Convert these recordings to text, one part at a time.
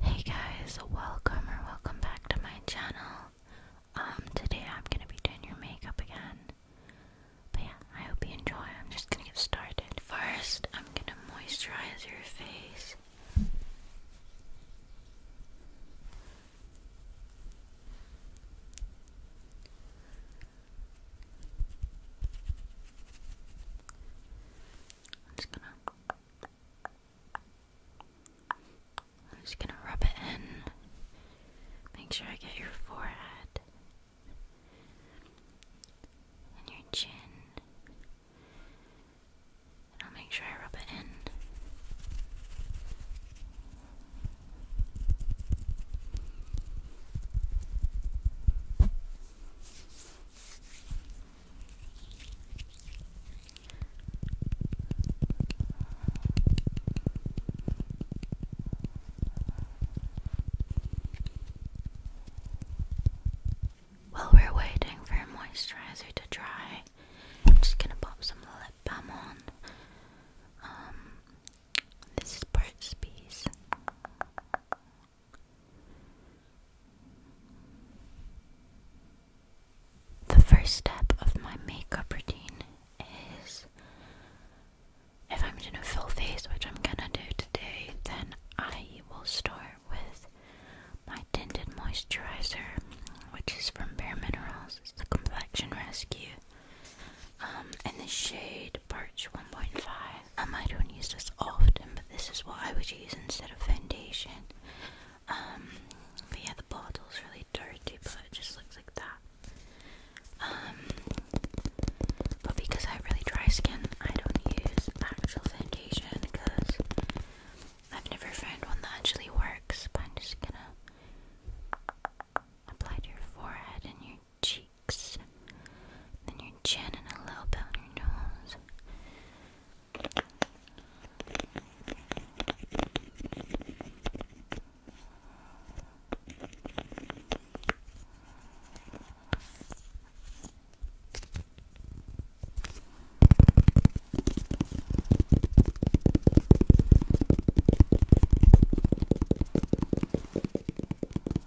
Hey guys, welcome or welcome back to my channel. Um, today I'm gonna be doing your makeup again. But yeah, I hope you enjoy. I'm just gonna get started. First, I'm gonna moisturize your face. I'm just gonna I'm just gonna rub it in. Make sure I get your forehead and your chin. I'll make sure I rub it in. While we're waiting for moisturizer to dry, I'm just gonna pop some lip balm on. Um, this is Burt's Bees. The first step of my makeup routine is if I'm doing a full face, which I'm gonna do today, then I will start with my tinted moisturizer, which is from Bare Minerals. It's the Complexion Rescue um, in the shade Birch 1.5. Um, I don't use this often, but this is what I would use instead of foundation. Um, but yeah, the bottle's really dirty, but it just looks like that. Um, but because I have really dry skin, I don't use actual foundation because I've never found one that actually works. But I'm just gonna apply to your forehead and your cheeks then your chin and a little bit on your nose.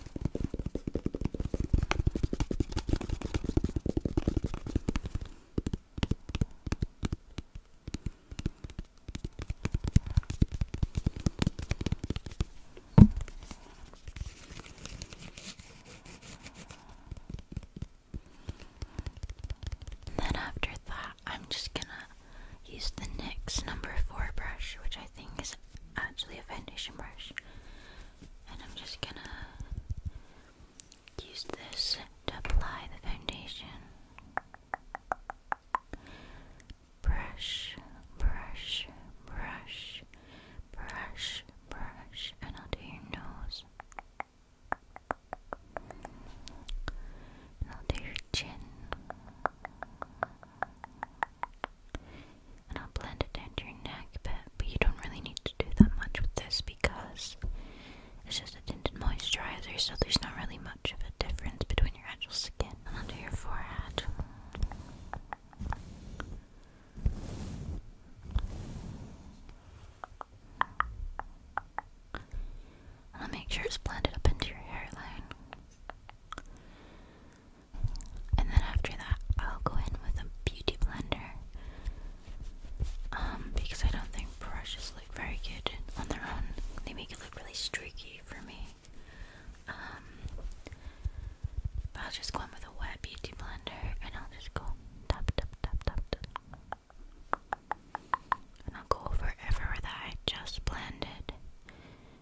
Then after that, I'm just gonna use the NYX number four brush, which I think is actually a foundation brush, and I'm just gonna use this to apply the foundation. Brush, brush, brush, brush, brush, and I'll do your nose. And I'll do your chin. And I'll blend it down your neck but you don't really need to do that much with this because it's just a tinted moisturizer, so there's not really much of a difference between your actual skin and under your forehead. I'll make sure it's blended up into your hairline. And then after that, I'll go in with a beauty blender. Um, because I don't think brushes look very good on their own. They make it look really streaky for me. Um, I'll just go in with a wet beauty blender and I'll just go tap, tap, tap, tap, tap. And I'll go over everywhere I just blended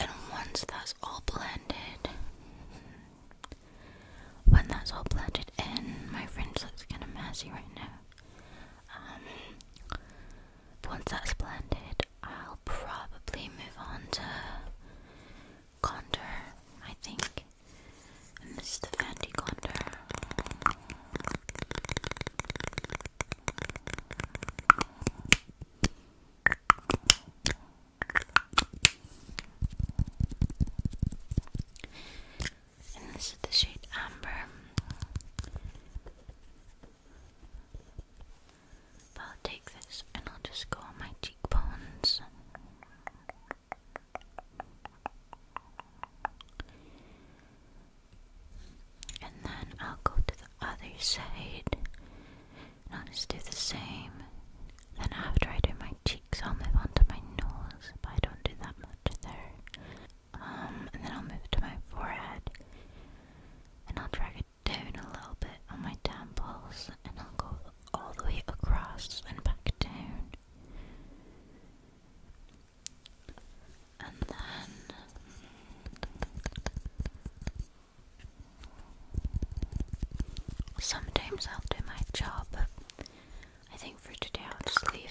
and once that's all blended when that's all blended in my fringe looks kind of messy right now um once that's blended I'll probably move on to contour I think and this is the fancy contour and this is the shade Amber. I'll take this and I'll just go on my cheekbones and then I'll go to the other side and I'll just do the same then after I do my cheeks I'll move on to my nose but I don't do that much there um, and then I'll move to my forehead and I'll drag it down a little bit on my temples and I'll go all the way across and back down and then sometimes I'll do my job, but I think for today I'll just leave it.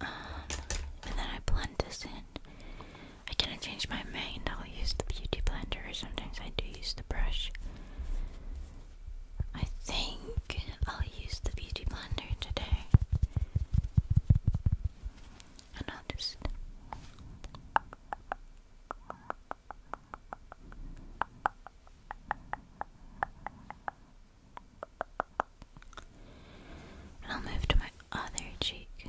and then I blend this in. I kind of changed my mind. I'll use the beauty blender, sometimes I do use the brush. I think I'll use the beauty blender today. And I'll just I'll move to my other cheek.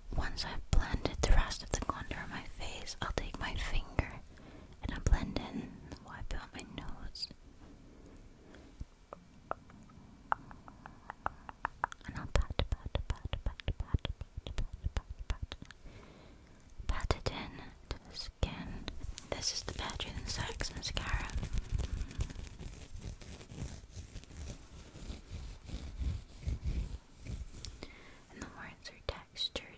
once I've blended the rest of the contour on my face, I'll take my finger and I'll blend in, wipe out my nose, and I'll pat, pat, pat, pat, pat, pat, pat, pat, pat, pat it in to the skin. This is the Better Than Sex mascara and the words are textured.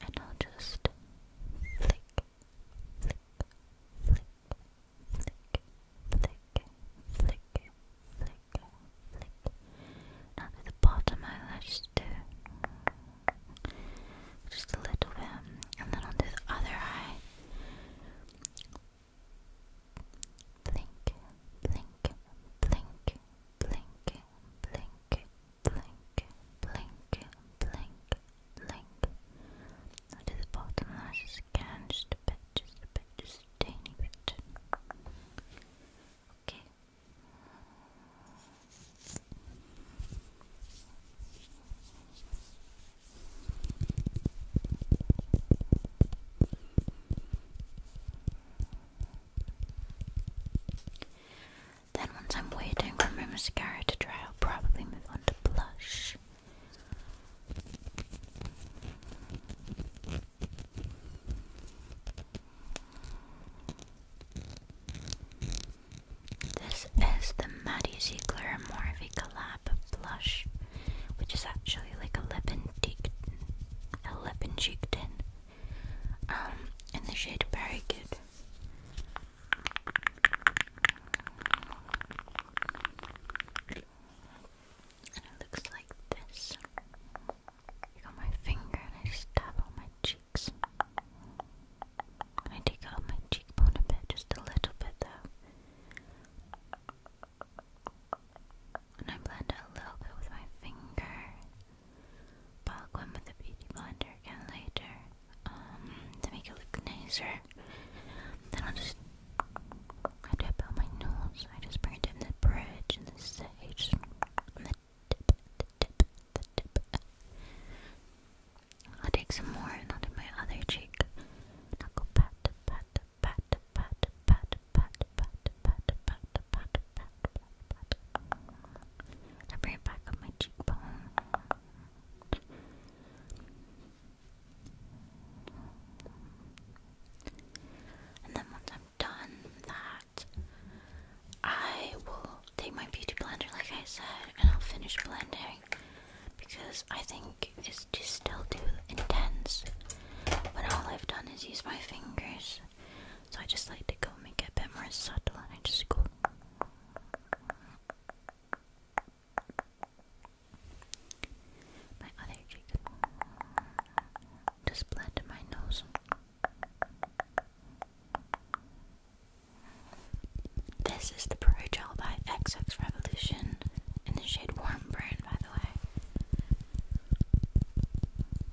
And I'll just flick, flick, flick, flick, flick, flick, flick, flick. Now to the bottom eyelash too. Just a little bit. And then onto the other eye. blink, blink, blink, blink, blink, blink, blink, blink, blink. Now the bottom lash just a bit, just a bit, just a tiny bit. Okay. Then once I'm waiting for my mascara to dry, I'll probably move on to blush. This is the Maddie Ziegler Morphe Collab Blush, which is actually like a lip and cheek, a lip and cheek tin um, in the shade Very Good. And it looks like this. I got my finger and I just tap on my cheeks. I take out my cheekbone a bit, just a little bit though. And I blend it a little bit with my finger. Balgwan with a beauty blender again later um, to make it look nicer. Then I'll just I dip out my nose. I just bring in the bridge and the sage and the dip, the dip, the dip. I'll take some more and i my other cheek. I'll go pat, pat, pat, pat, pat, pat, pat, pat, back of my cheekbone. And then once I'm done that, I will take my beauty blender, like I said, and I'll finish blending because I think it's just still too intense. But all I've done is use my fingers so I just like to go make it a bit more subtle and I just go. My other cheek. Just blend my nose. This is the Pro Gel by XX Revolution in the shade Warm Brown, by the way.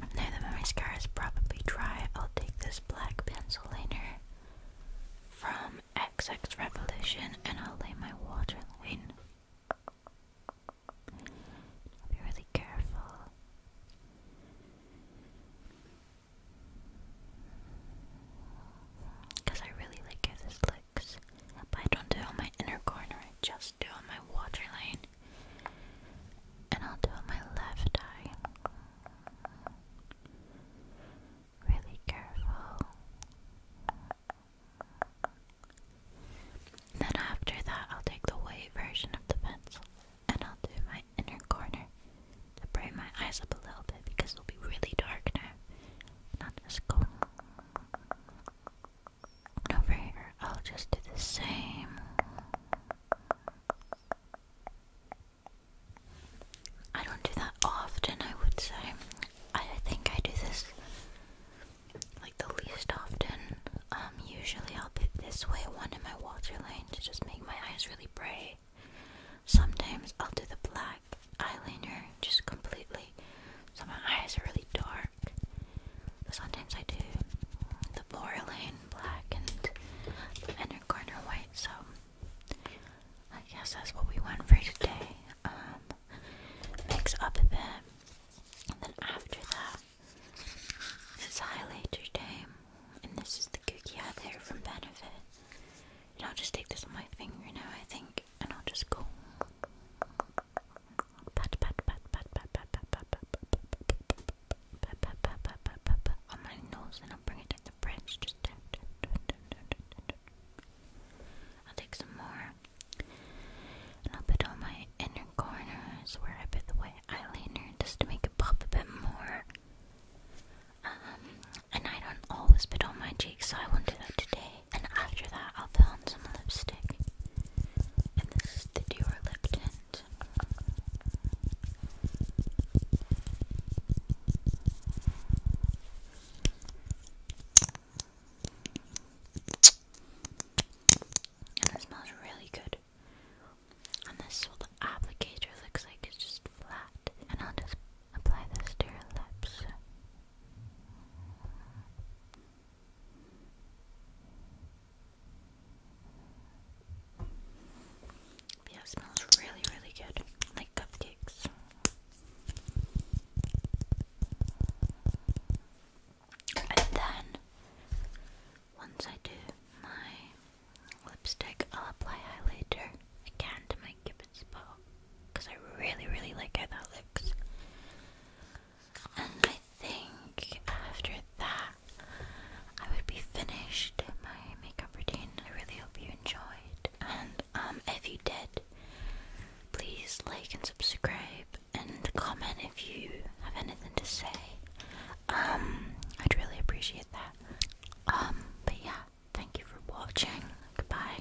Now that my mascara is probably dry, I'll take this black pencil liner from XX Revolution and I'll lay my waterline. I'll be really careful. Because I really like how this looks. But I don't do on my inner corner, I just do on my waterline. And I'll do my left eye. Really careful. Then after that, I'll take the white version of the pencil and I'll do my inner corner to brighten my eyes up a little bit because it'll be really dark now. just over here. I'll just do the same. I don't do that often, I would say. I think I do this like the least often. Um, usually I'll put this way one in my water line to just make my eyes really bright. Sometimes I'll do the black eyeliner just completely so my eyes are really dark sometimes I do the lane black and the inner corner white, so I guess that's what we went for today. Um, mix up a bit, and then after that, it's highlighter time. And this is the cookie out there from Benefit. And I'll just take this on my finger now, I think, and I'll just go pat pat pat pat pat pat pat pat pat pat pat pat pat pat pat pat on my nose and I'll bring it in the branch just I'll take some more and I'll put on my inner corners where I put the white eyeliner just to make it pop a bit more and I don't always put on my cheeks so I won't do that today and after that, I'll put on some lipstick. And this is the Dior Lip Tint. And it smells really good. And this is what the applicator looks like, it's just flat. And I'll just apply this to your lips. Yeah, smells really, really good. Like cupcakes. And then, once I do my lipstick, I'll apply highlighter again to my cupid's bow because I really, really like how that looks. And I think after that, I would be finished my makeup routine. I really hope you enjoyed. And um, if you did, please like and subscribe and comment if you have anything to say. Um, I'd really appreciate that. Um, but yeah, thank you for watching. Goodbye.